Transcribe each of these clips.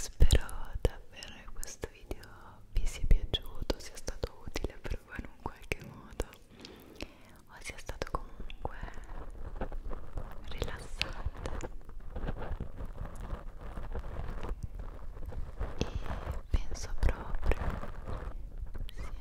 Spero davvero che questo video vi sia piaciuto, sia stato utile per voi in un qualche modo o sia stato comunque rilassante e penso proprio sia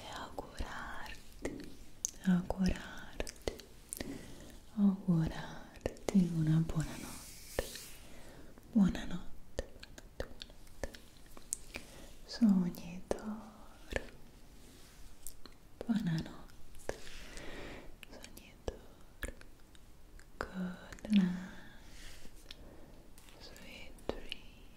e augurarti, augurarti, augurarti una buona notte, buonanotte, buonanotte, buonanotte, sogni d'oro, buonanotte, sogni d'oro, good night, sweet dreams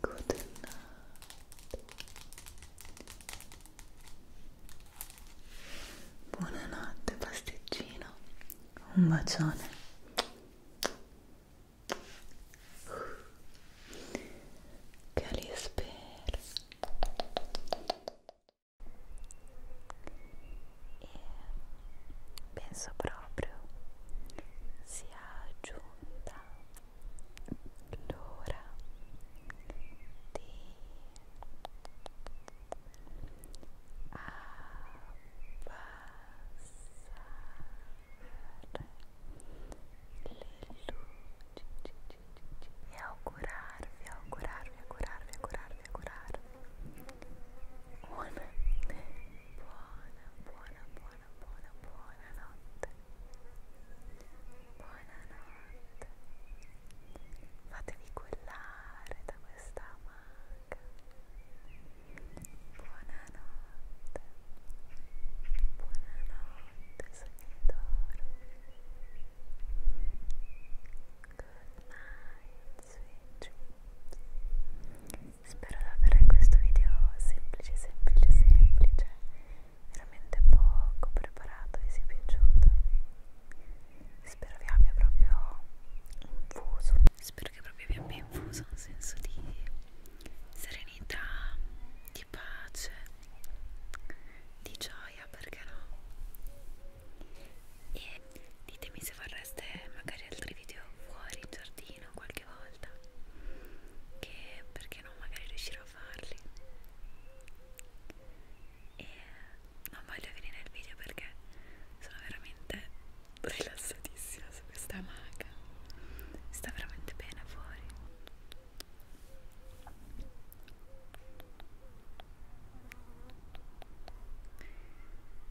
Good night. Buonanotte pasticcino. Un bacione. Che li spero. E penso proprio sia giunta l'ora di abbassare le luci e augurarvi, augurarvi, augurarvi, augurarvi, augurarvi buona, buona, buona, buona buona, buona, buona notte. Buonanotte. Fatevi cullare da questa maga. Buonanotte. Buonanotte, sognatore. Good night, sweet dreams spero di aver questo video semplice, semplice, semplice, veramente poco preparato vi sia piaciuto. Spero vi abbia proprio infuso, spero che proprio vi abbia infuso un senso di serenità, di pace, di gioia, perché no? E ditemi se vorreste magari altri video fuori in giardino qualche volta volta che perché non magari riuscirò a farli e non voglio finire il video perché sono veramente rilassatissima su questa maga sta veramente bene fuori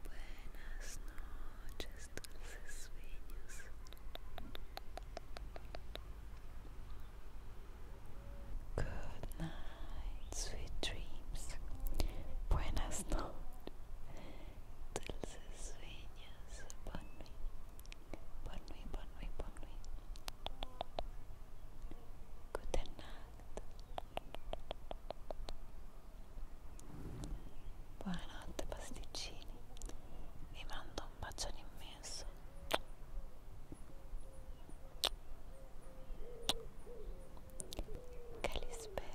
Buenas noches noches, dulces Good night, sweet dreams. Buenas noches, dulces sueños. Bon nuit, bon nuit, bon nuit, Good night. Buonanotte pasticcini vi mando un bacione immenso che li spera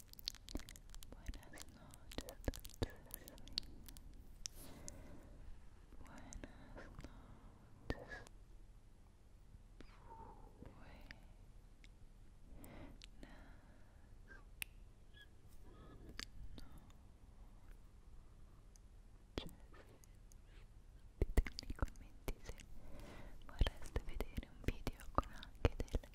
Buenas noches, dulces niños. Buenas noches. Buenas noches. Ditemi nei commenti se vorreste vedere un video con anche delle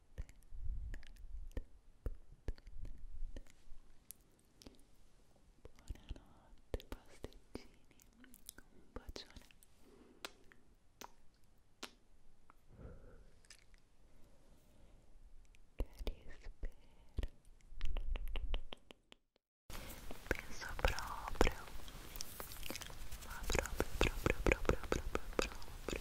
Buonanotte pasticcini, un bacione che Penso proprio, ma proprio, proprio, proprio, proprio, proprio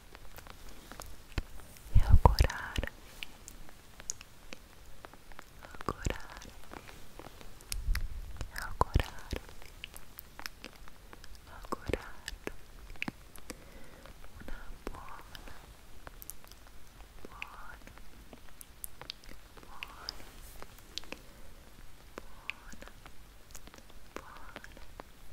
Agora, agora, agora, agora, una buona, buona, buona, buona, buona,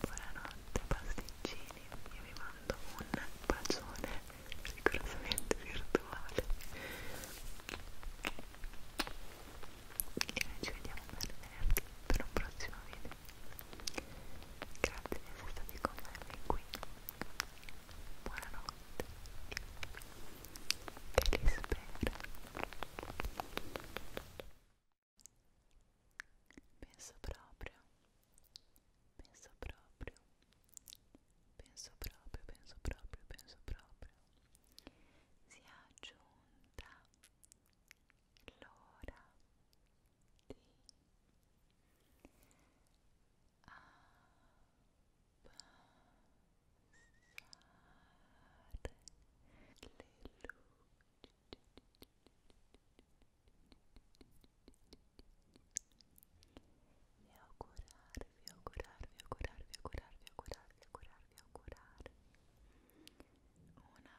Buonanotte pasticcini, io vi mando un bacione rigorosamente virtuale e noi ci vediamo per venerdì per un prossimo video Grazie di essere stati con me fin qui. Buonanotte. Che li spero. Penso proprio. Penso proprio. Penso proprio, penso proprio, penso proprio. Si è aggiunta l'ora e augurarvi, augurarvi, augurarvi, augurarvi, augurarvi, augurarvi, augurarvi una buona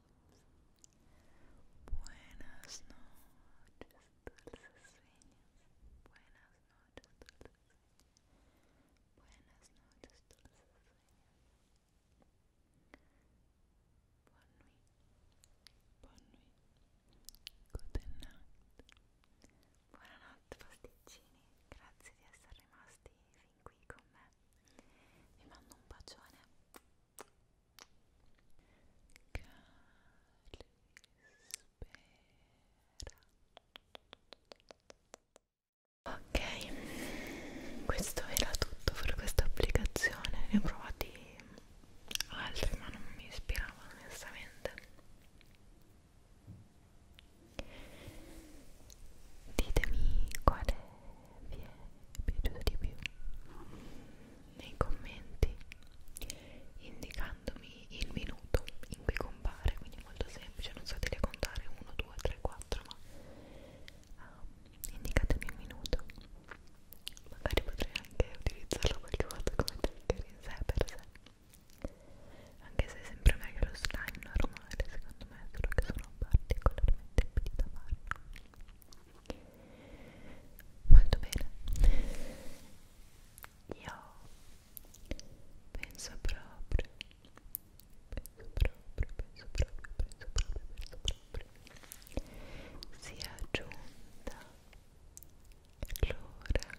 Buenas noches, dulces sueños. Buenas noches, dulces sueños. Buenas noches, dulces sueños. Bonne nuit. Bonne nuit. Good night. Buonanotte, pasticcini. Grazie di essere rimasti fin qui con me. Vi mando un bacione Ok, questo era tutto per questa applicazione. Ne ho provati altri, ma non mi ispiravano onestamente. Ditemi quale vi è piaciuto di più nei commenti indicandomi il minuto in cui compare quindi è molto semplice non state a contare 1 2 3 4 ma uh, indicatemi un minuto magari potrei anche utilizzarlo qualche volta come trigger in sé per sé anche se è sempre meglio lo slime normale secondo me solo che sono particolarmente impedita a farlo molto bene io penso proprio penso proprio penso proprio penso proprio penso proprio sia giunta l'ora di Appa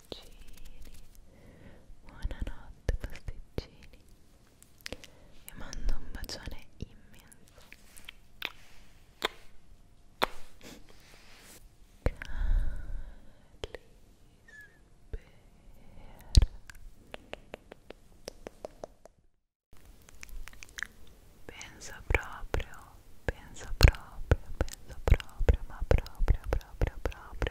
pasticcini buonanotte pasticcini vi mando un bacione immenso Penso proprio, penso proprio, penso proprio, ma proprio, proprio, proprio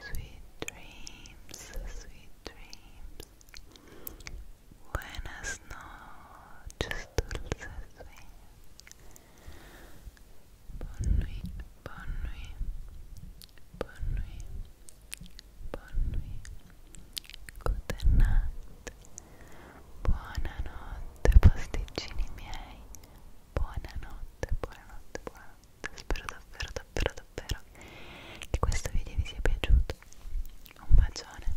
Sweet dreams, sweet dreams. Buenas noches, dulces sueños. Bon nuit, bon nuit, bon nuit, bon nuit. Good night. Buonanotte, pasticcini miei. Buonanotte, spero davvero davvero davvero che questo video vi sia piaciuto un bacione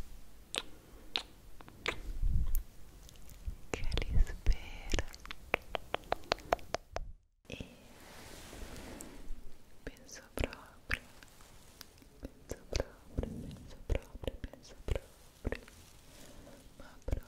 che li spero e penso proprio penso proprio penso proprio penso proprio ma proprio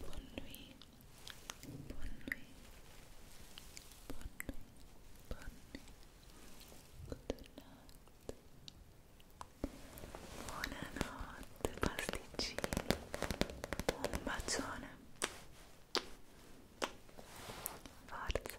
Bonne nuit. Bonne nuit. Bonne nuit. Bonne nuit. Good night. Buonanotte pasticcini. Un bacione. Forza.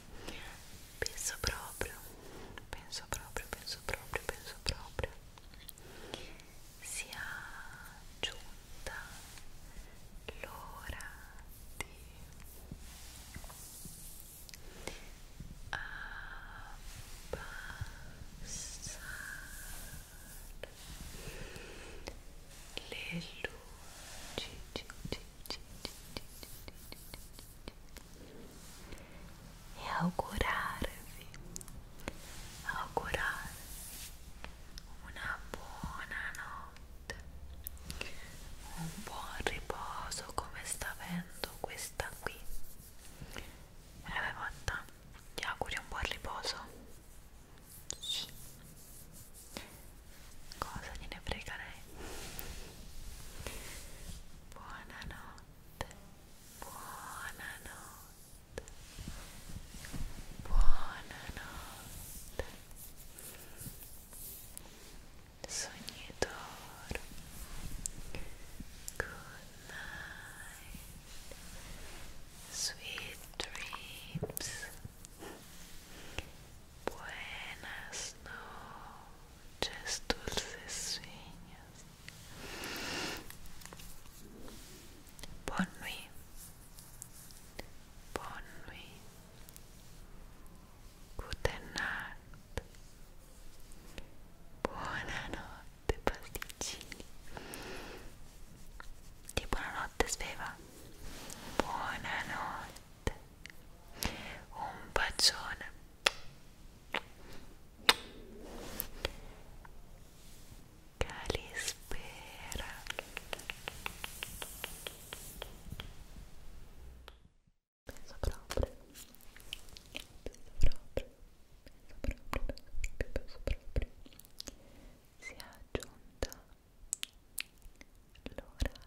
penso proprio penso proprio penso proprio penso proprio sia giunta l'ora di abbassare le luci e augurarvi, augurarvi una buona notte, un buon riposo come sta avendo questa qui. Me l'aveva fatta? Ti auguri un buon riposo? Sì. cosa gliene frega lei buonanotte buonanotte buonanotte sognatore good night sweet dreams Buenas noches. noches, dulces sueños. Bonne nuit. Bonne nuit. Guten night. Buonanotte pasticcini. Di buonanotte sveva. Buonanotte notte un bacione Calispera penso proprio penso proprio penso proprio penso proprio penso proprio si è aggiunta l'ora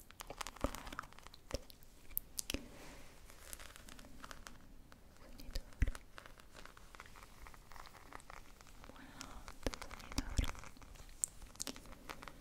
Sonidoro. Buonanotte, sonidoro. Sweet dreams. Sweet dreams.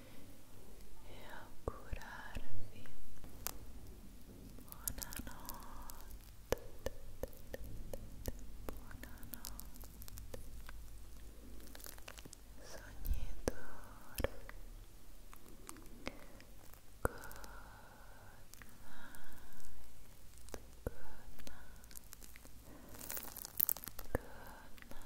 e augurarvi buonanotte buonanotte sognatore good night good night Good night.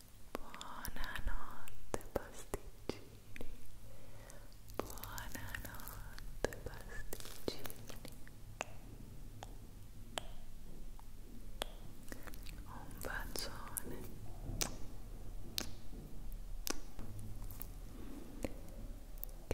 Buonanotte pasticcini. Buonanotte pasticcini. Un bacione. Che